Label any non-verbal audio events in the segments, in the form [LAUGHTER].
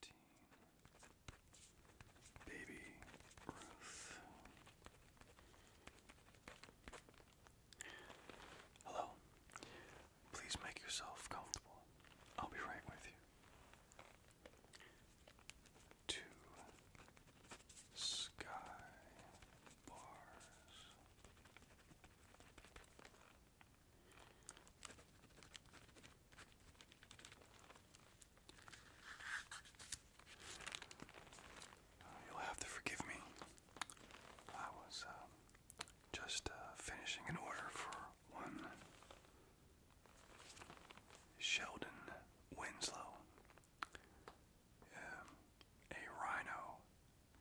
Thirteen Baby Ruth. Hello. Please make yourself comfortable. I'll be right with you. Two sky bars. Uh, you'll have to forgive me. I was um, just uh, finishing an order for one Sheldon Winslow, um, a rhino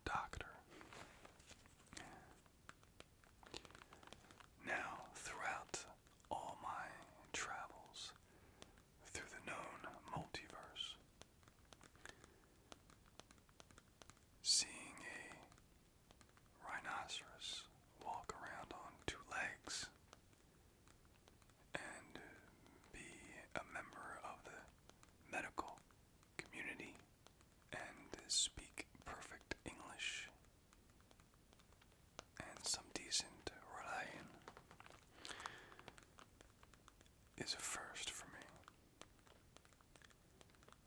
doctor. Now, throughout all my travels through the known multiverse, seeing a rhinoceros walk around on two legs and be a member of the medical community and speak perfect English and some decent Rhode is a first for me.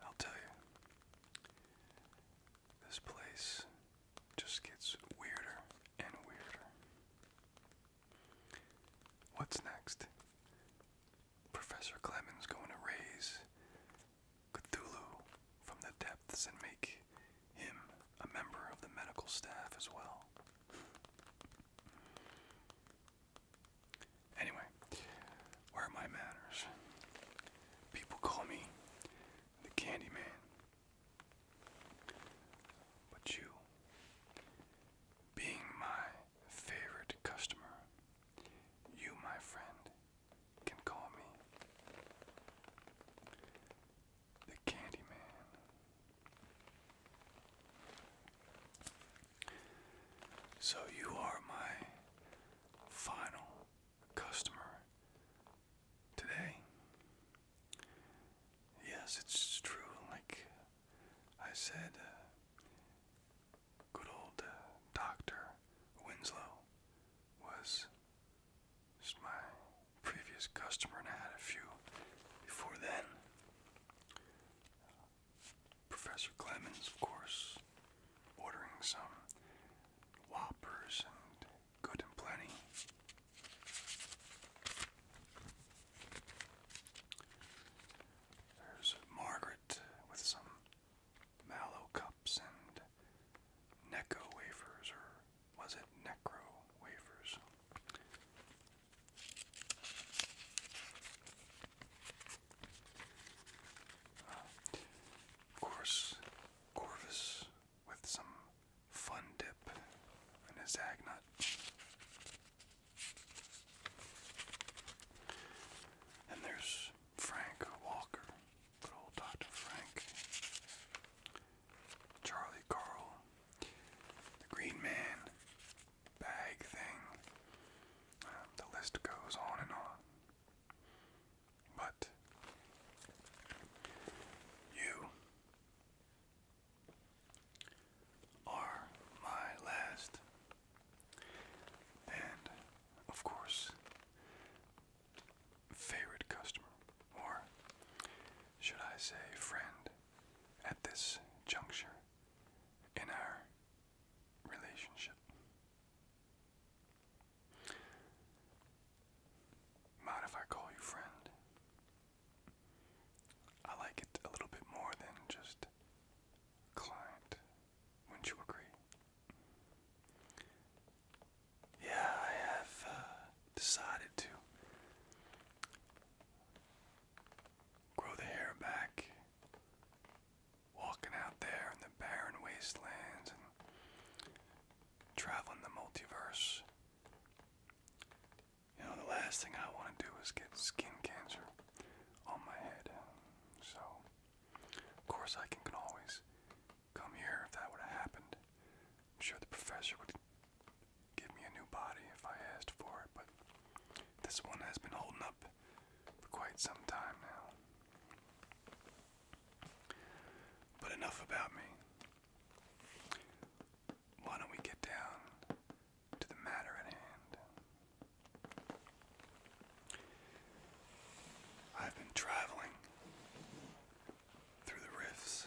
I'll tell you, this place just gets weirder and weirder. What's next? Professor Clemens going to raise Cthulhu from the depths and make him a member of the medical staff as well. Anyway, where are my manners? People call me the Candy Man. But you, being my favorite customer, you, my friend, can call me the Candy Man. So you are my final customer today. Yes, it's true. Like I said, uh, good old uh, Dr. Winslow was just my previous customer, and I had a few before then. Professor Clemens, of course, ordering some Whoppers and Good and Plenty. There's Margaret with some mallow cups and Necco wafers, or was it Necro wafers? Uh, of course, Corvus with some fun dip and a zag nut. And there's Frank Walker, good old Dr. Frank. Charlie Carl, the Green Man, Bag Thing. Um, the list goes on and on. But you are my last, and of course, favorite customer, or should I say, friend, at this juncture in our relationship. Mind if I call you friend? I like it a little bit more than just client. Wouldn't you agree? Yeah, I have uh, decided to grow the hair back walking out there in the barren wastelands and traveling the multiverse. You know, the last thing I want to do is get skin cancer on my head. So, of course, I can, always come here if that would have happened. I'm sure the professor would give me a new body if I asked for it, but this one has been holding up for quite some time now. But enough about me. Why don't we get down to the matter at hand? I've been traveling through the rifts,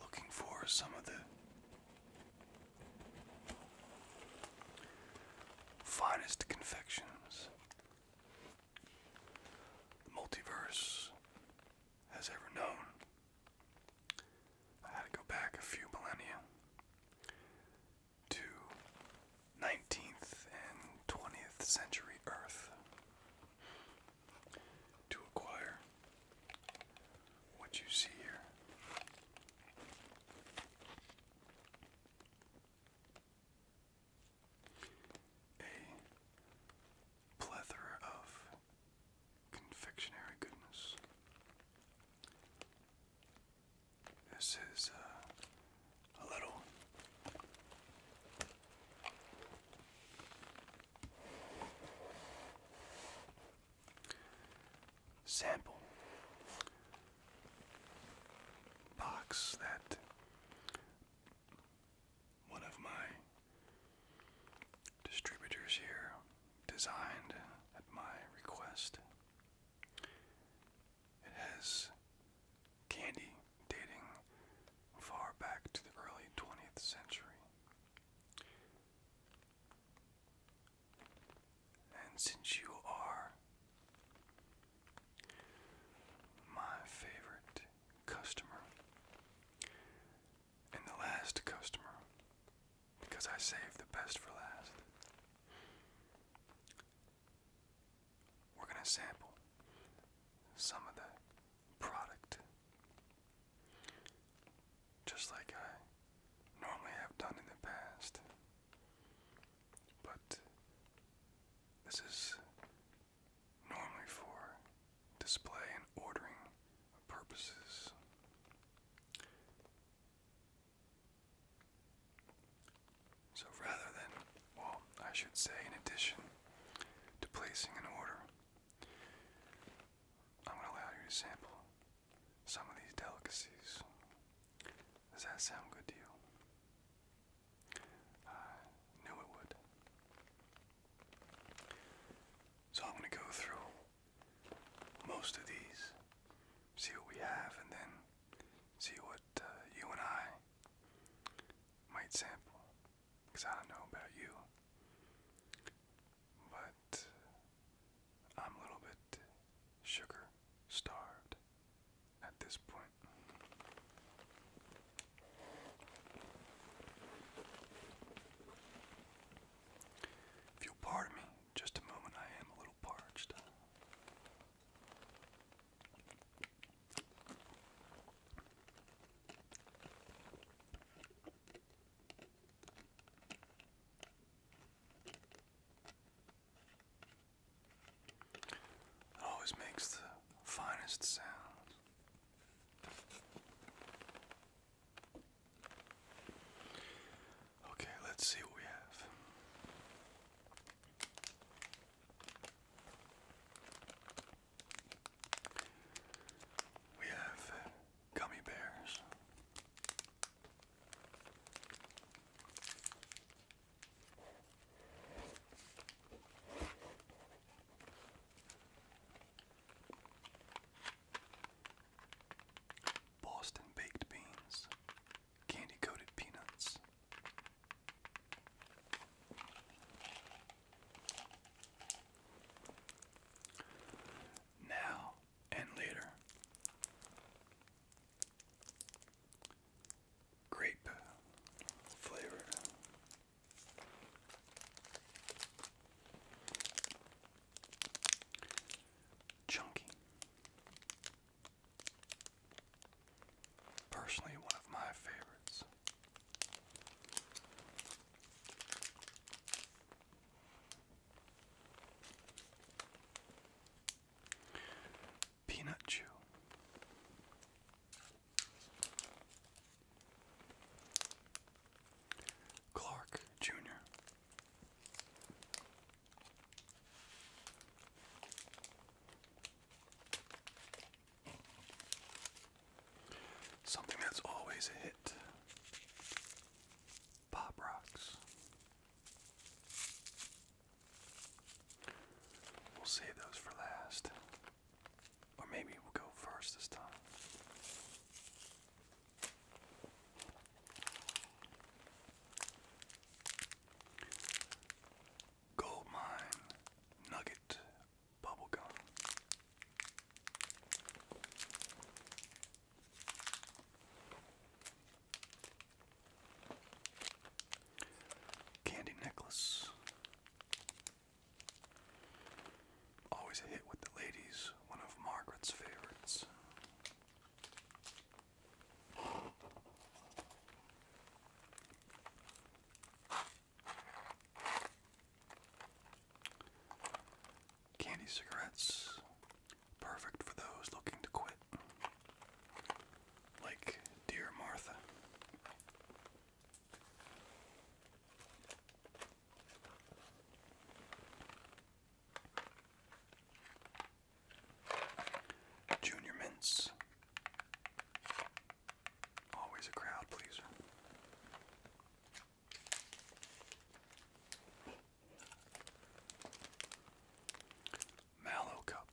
looking for some of the Finest confections multiverse has ever known. I had to go back a few millennia to 19th and 20th century Earth to acquire what you see here. A plethora of confectionery goodness. This is uh, a little sample box that one of my distributors here designed at my request. It has candy dating far back to the early 20th century. And since you are my favorite customer and the last customer, because I saved the best for last, we're going to sample some of the product just like I normally have done in the past. But this is normally for display and ordering purposes. So rather than, well, I should say, in addition to placing an order, I'm going to allow you to sample some of these delicacies. Does that sound good to you? I knew it would. So I'm going to go through most of these, see what we have, and then see what uh, you and I might sample. Because I don't know about you, but I'm a little bit sugar starved at this point. If you'll pardon me, just a moment, I am a little parched always makes the finest sounds. Okay, let's see what we have. We have gummy bears. Boston baked beans, candy coated peanuts. Now and later. Grape flavored. Chunky. Personally, one of my favorites. Peanut Chew. Clark Jr. Something that's always a hit. Pop Rocks. We'll save those for last. Or maybe we'll go first this time. Gold Mine Nugget Bubblegum. Candy necklace. Always a hit with the ladies, one of Margaret's favorites. Candy cigarettes, Perfect for those looking to quit. Like dear Martha. Junior Mints. Always a crowd pleaser. Mallow Cup,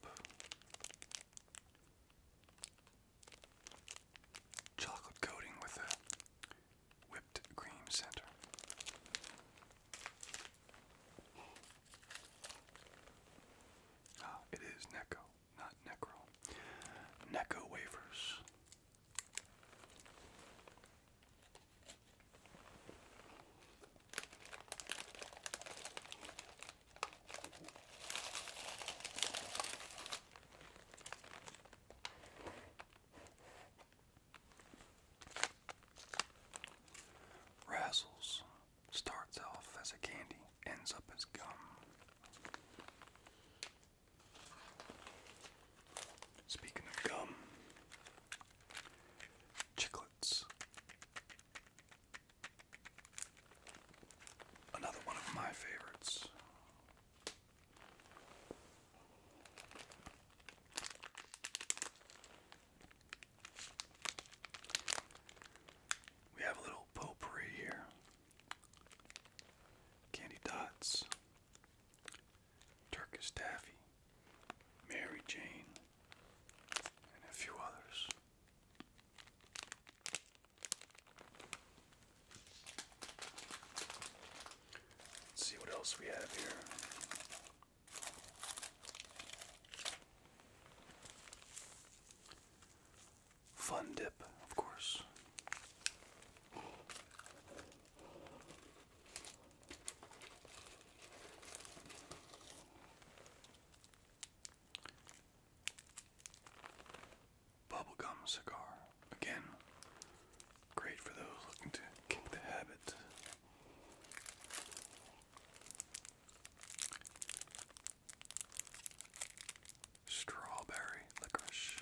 chocolate coating with a whipped cream center. Ah, it is Necco, not Necro. Necco wafers. Razzles starts off as a candy, ends up as gum. Speaking of gum, chiclets. Another one of my favorites. We have a little potpourri here. Candy dots, Turkish Taffy, Mary Jane, and a few others. Let's see what else we have here. Fun dip, of course. Bubblegum cigar. Again, great for those looking to kick the habit. Strawberry licorice.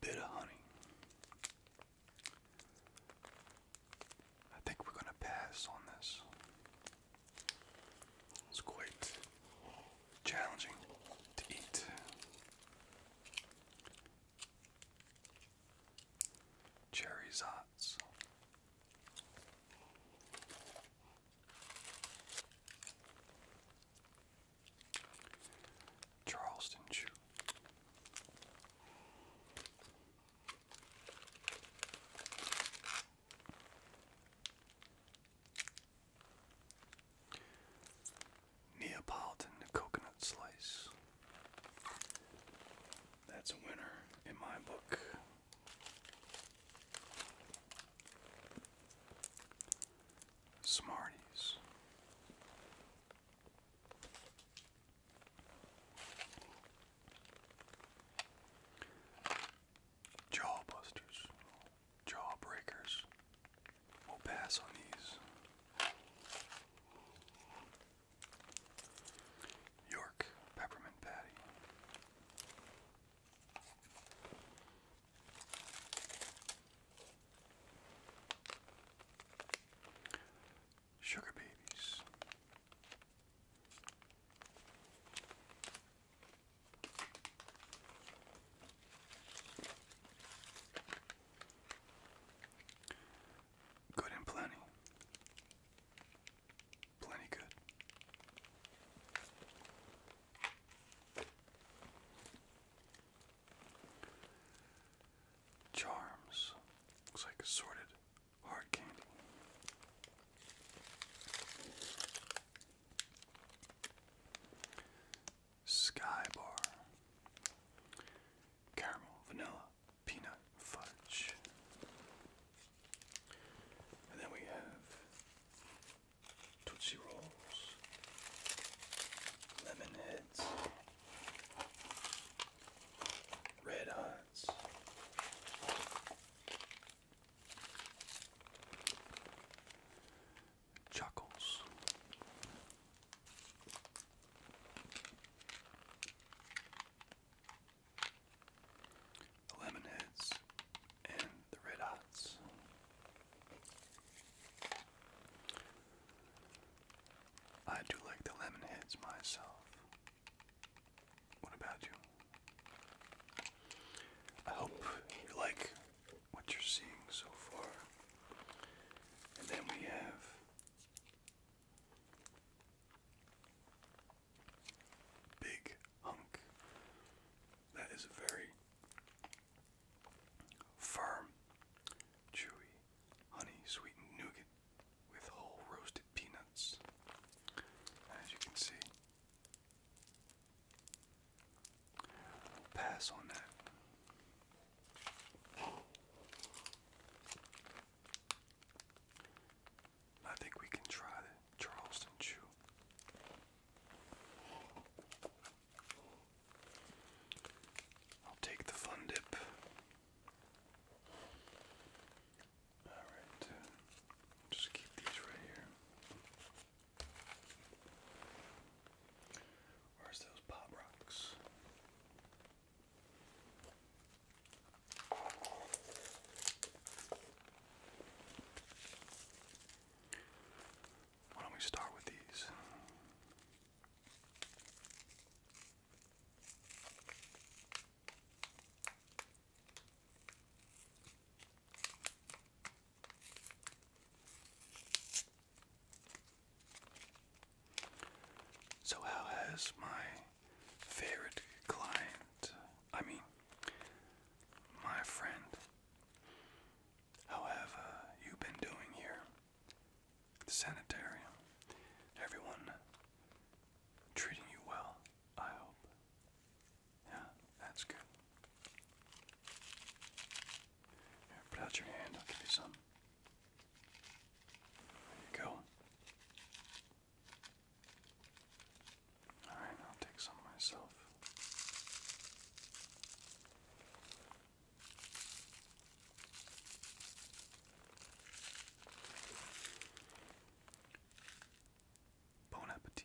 Bit of honey. I think we're going to pass on this. It's quite challenging to eat. Cherry zots. Charleston shoe. Neapolitan coconut slice. That's a winner in my book. Smarties. Jawbusters, jawbreakers. We'll pass on these. York peppermint patty. Sugar babies. Good and plenty. Plenty good. Charms. Looks like assorted hard candy. Skybar. Caramel, vanilla, peanut, fudge. And then we have Tootsie Rolls, Lemon Heads, Chuckles the Lemonheads, and the Red Hots. I do like the Lemonheads myself. What about you? I hope you like what you're seeing so far. And then we have Big hunk. That is a very firm, chewy, honey sweetened nougat with whole roasted peanuts. As you can see, pass on that. I think we can try Charleston Chew. I'll take the fun dip. Alright, just keep these right here. Where's those pop rocks? Why don't we start with these? So, how has my favorite client, I mean, my friend. However, you been doing here the sanitarium, everyone treating you well, I hope. Yeah, that's good. put out your hand, I'll give you some. There you go. Alright, I'll take some myself. Bon appetit.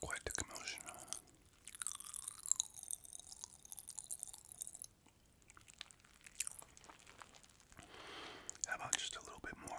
Quite the commotion, How about just a little bit more?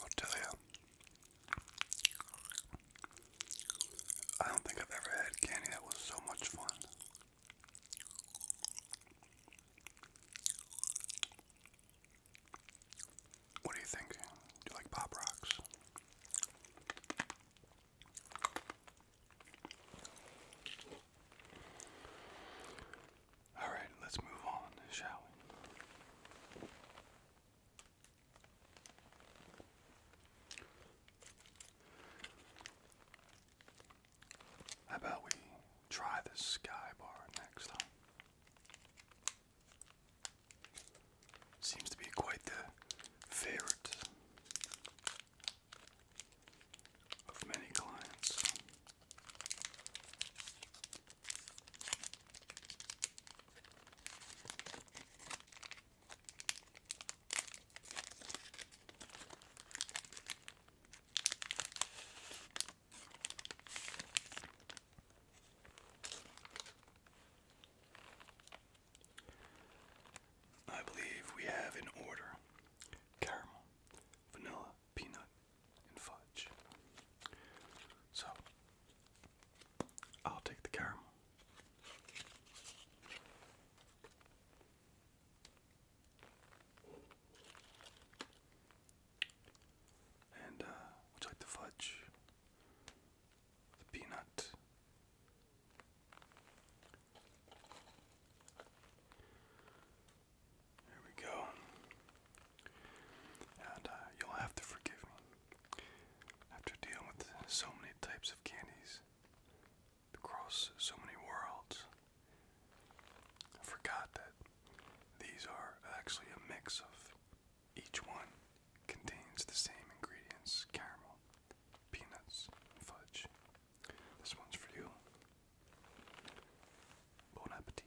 I'll tell you. I don't think I've ever had candy that was so much fun. What do you think? Do you like Pop Rocks? All right, let's move on, shall we? How about we try this sky bar next time? Seems to be quite the favorite of many clients. I believe we have in order caramel, vanilla, peanut, and fudge. So, I'll take the caramel. And, uh, the fudge? The peanut? Here we go. And uh, you'll have to forgive me. After dealing with so many types of candies, across so many worlds, I forgot that these are actually a mix of each one contains the same ingredients caramel, peanuts, fudge. This one's for you. Bon appetit.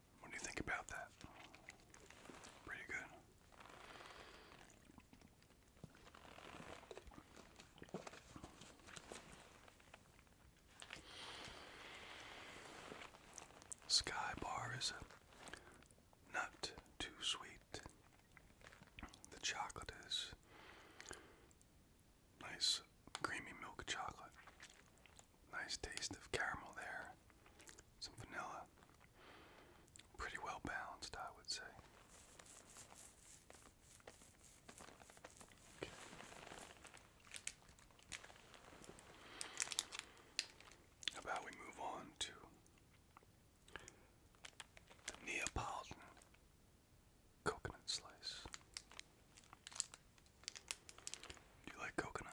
What do you think about that? Pretty good. Sky Bar is not too sweet. The chocolate is nice creamy milk chocolate. Nice taste of caramel there some vanilla. Pretty well balanced, I would say. How about we move on to the Neapolitan coconut slice? Do you like coconut?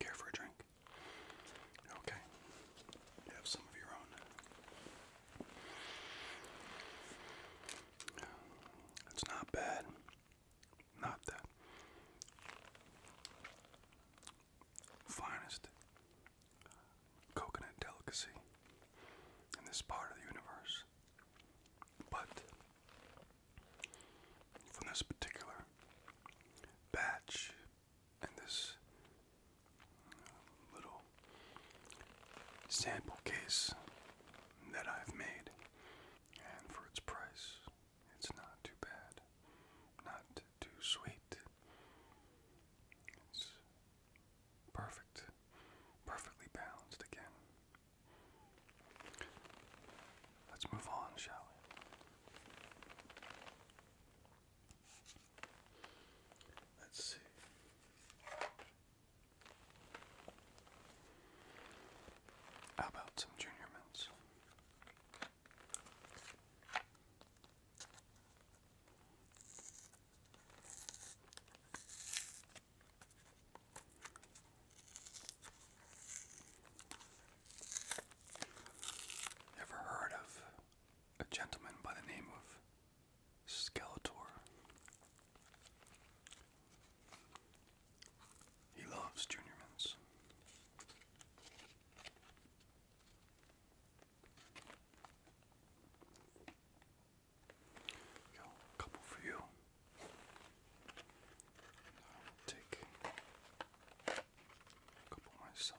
Care for a drink? Okay. You have some of your own. It's not bad. Not the finest coconut delicacy in this part of the universe. But from this particular batch and this little sample case that I've made, and for its price, it's not too bad, not too sweet. It's perfect, perfectly balanced again. Let's move on, shall we? Let's see. How about some junior mints? Ever heard of a gentleman by the name of Skeletor. He loves Junior Mints. couple for you. take a couple myself.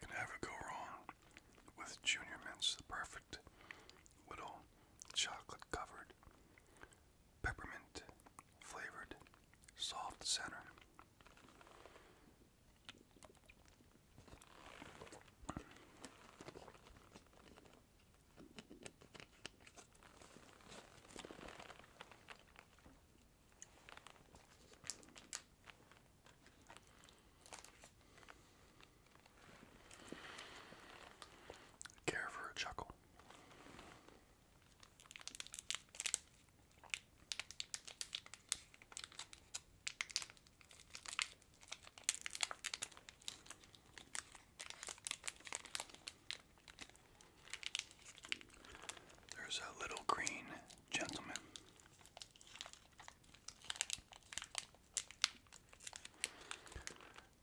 Can never go wrong with Junior Mints, the perfect little chocolate covered, peppermint flavored, soft center. Care for a chuckle. There's a little green gentleman.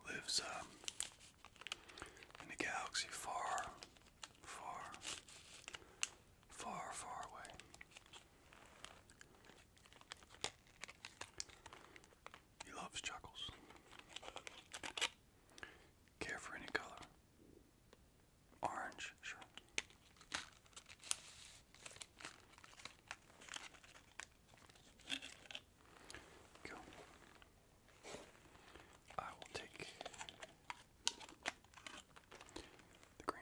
Lives um, in a galaxy far, far, far, far away. He loves chuckles. Care for any color? Orange, sure. Go. I will take the green.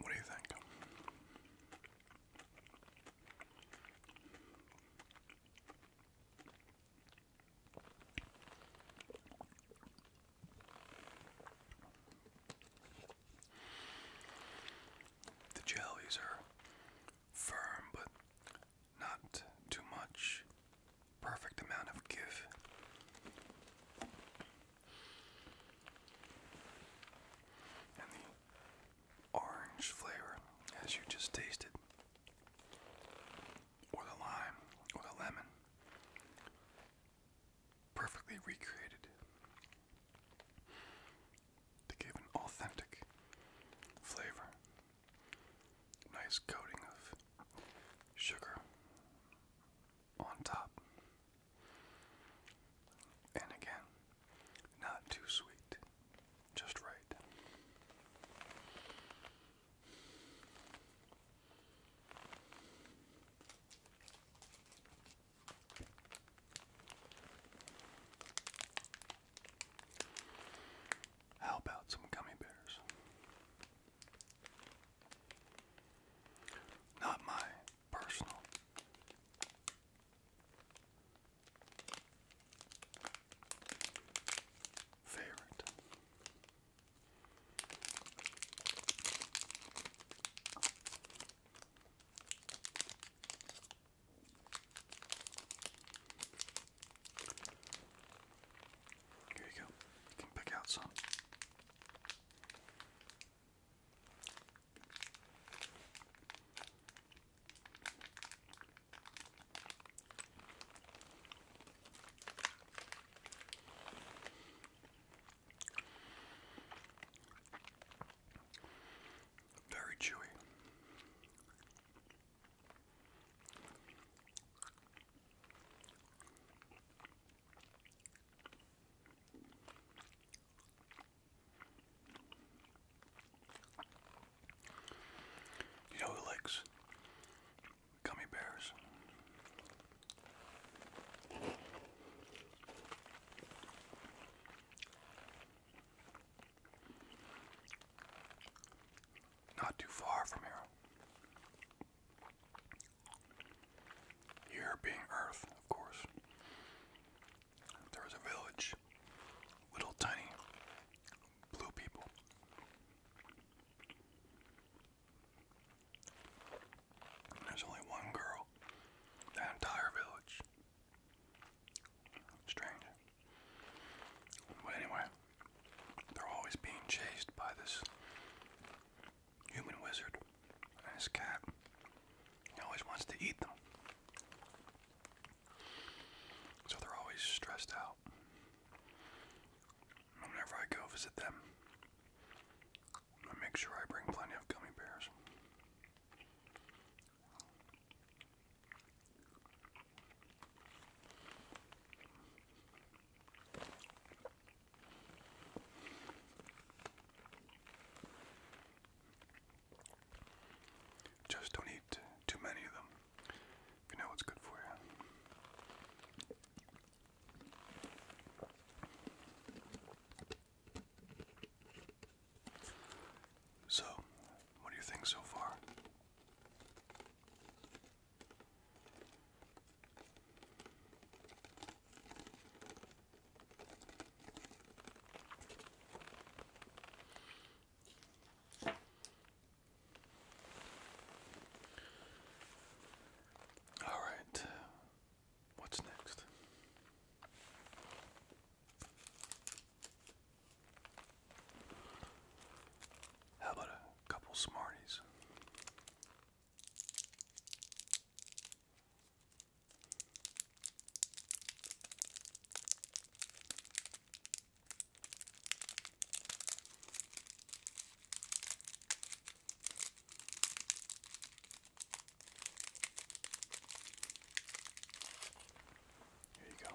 What do you think? The jellies are firm, but not too much perfect amount of give. And the orange flavor, as you just tasted, or the lime, or the lemon, perfectly recreated to give an authentic flavor. Nice coating of sugar on top. And again, not too sweet, just right. How about some gummy bears? Not my personal. Favorite. Here you go. You can pick out some. Very chewy. You know who likes gummy bears? Not too far from here here being Earth, of course. There a village, little tiny blue people. there's only one girl, that entire village. Strange. But anyway, they're always being chased by this human wizard and his cat. He always wants to eat them. So they're always stressed out. Whenever I go visit them, I make sure I bring plenty of gummy bears. Just don't eat too many of them. You know what's good for you. So, what do you think so far? All right, what's next? How about a couple Smarties? Here you go.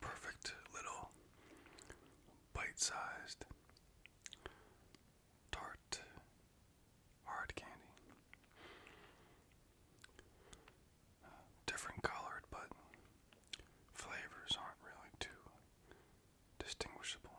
Perfect little bite sized tart hard candy. different colored, but flavors aren't really too distinguishable.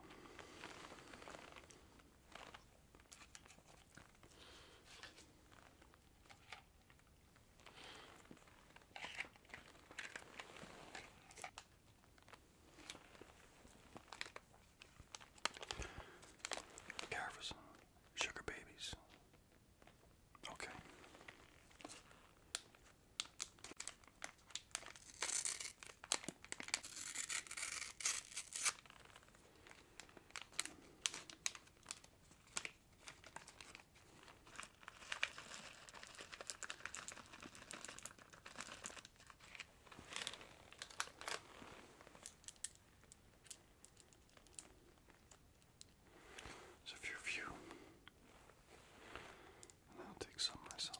Carverson, sugar babies. Okay. So if your view I'll take some myself.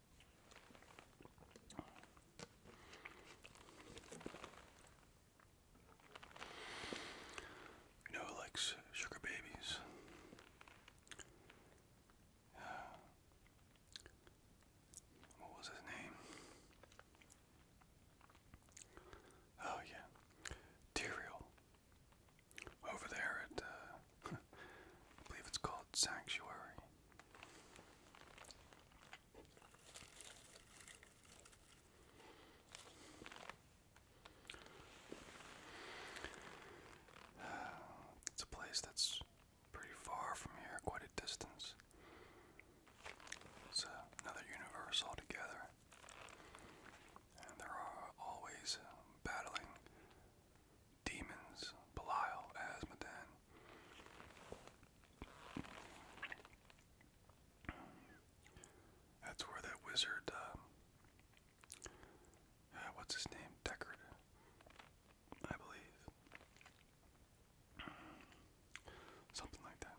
You know who likes sugar babies? [SIGHS] what was his name? Oh yeah, Tyrael. Over there at uh, [LAUGHS] I believe it's called Sanctuary. [SIGHS] it's a place that's pretty far from here, quite a distance. It's uh, another universe altogether. And there are always uh, battling demons, Belial, Asmodan. That's where that wizard, uh, uh, what's his name? Deckard, I believe. Something like that.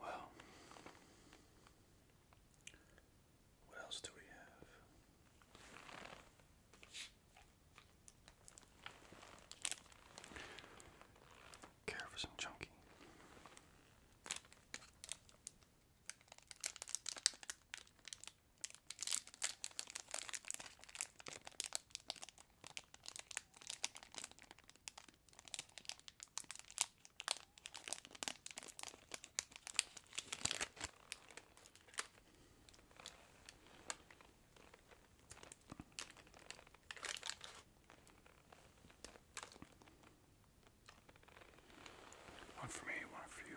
Well, what else do we have? Care for some chunky. One for me, one for you.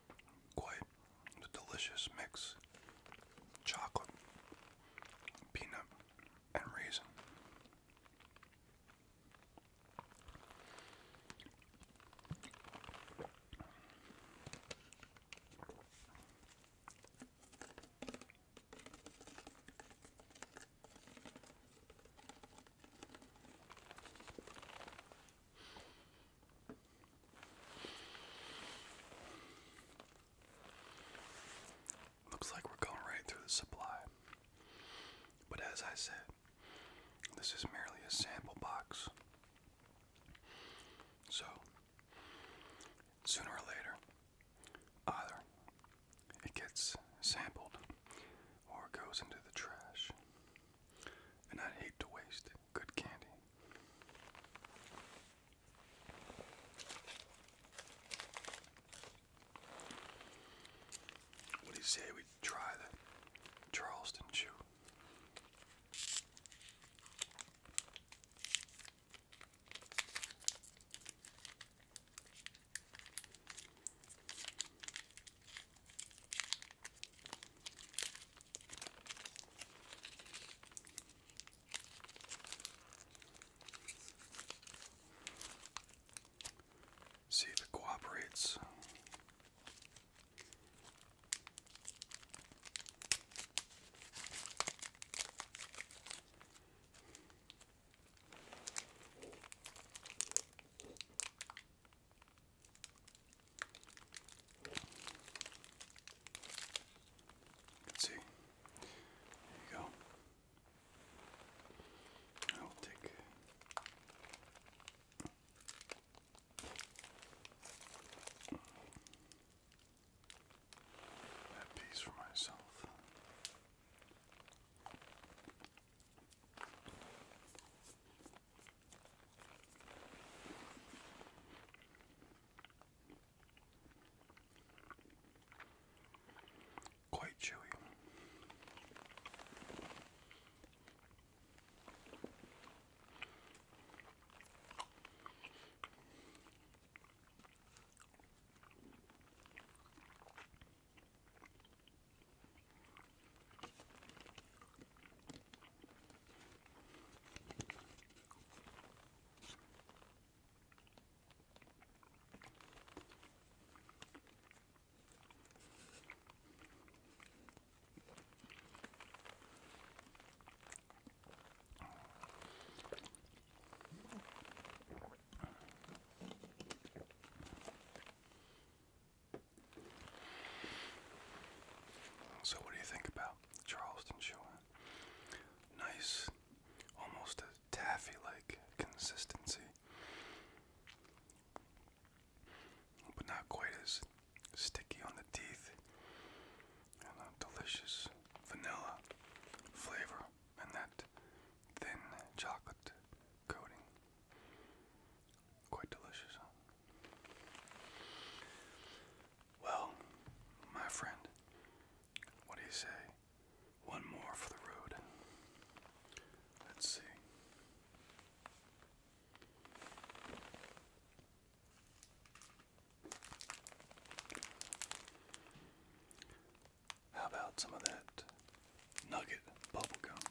quite the delicious mix chocolate, peanut, and raisin. Looks like we're going right through the supply. But as I said, this is merely a sample box. So, sooner or later, either it gets sampled or it goes into the trash. And I'd hate to waste good candy. What do you say we try the Charleston shoe? See if it cooperates let see. There you go. I will take. That piece for myself. Quite chewy. So, what do you think about Charleston chewing. Nice, almost a taffy-like consistency, but not quite as sticky on the teeth. And a delicious vanilla flavor, and that thin chocolate coating. Quite delicious. Well, my friend, what do you say? One more for the road. Let's see. How about some of that nugget bubblegum?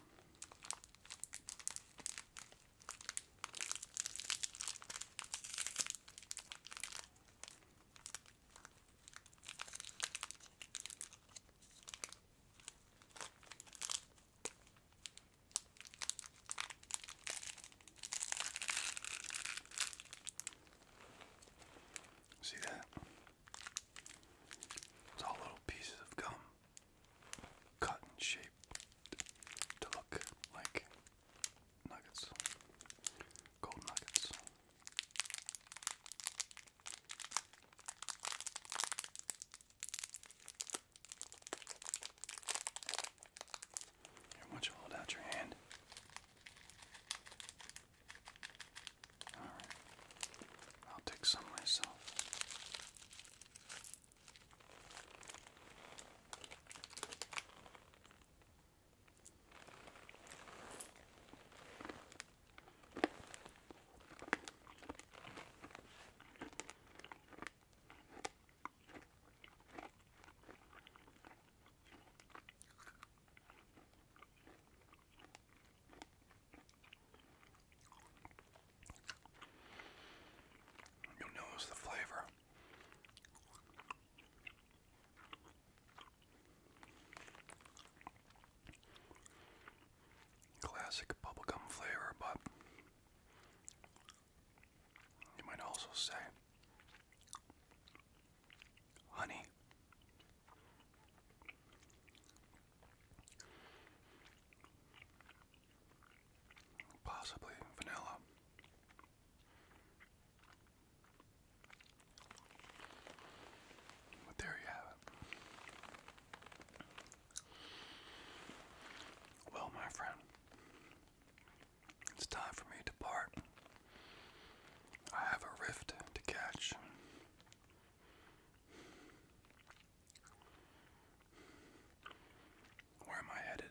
See that? It's all little pieces of gum cut and shaved to look like nuggets, gold nuggets. Here, once you hold out your hand. Alright, I'll take some myself you notice the flavor Classic bubblegum flavor, but you might also say honey possibly vanilla. But there you have it. Well, my friend, it's time for me to part. I have a rift to catch. Where am I headed?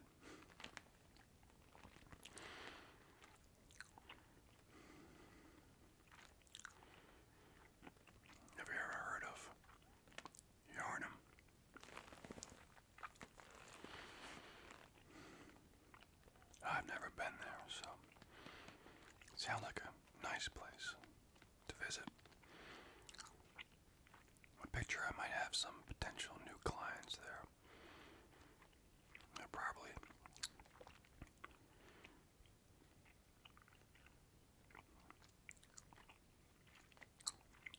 Have you ever heard of Yarnum? I've never been there, so sounds like a nice place to visit. I picture I might have some potential new clients there. They're probably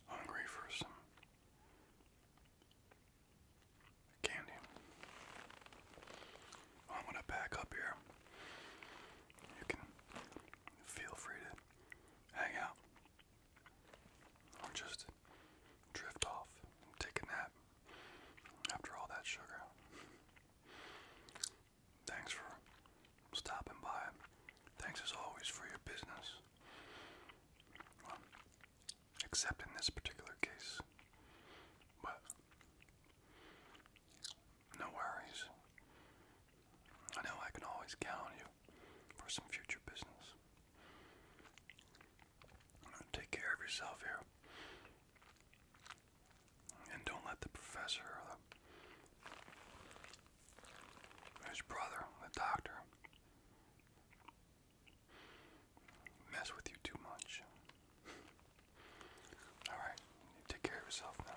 hungry for some candy. I'm gonna back up here. You can feel free to hang out. Or just drift off take a nap after all that sugar. Thanks for stopping by. Thanks as always for your business. except in this particular case. But no worries. I know I can always count on you for some future business. Take care of yourself here. And don't let the professor his brother, the doctor, mess with you too much. Alright, take care of yourself now.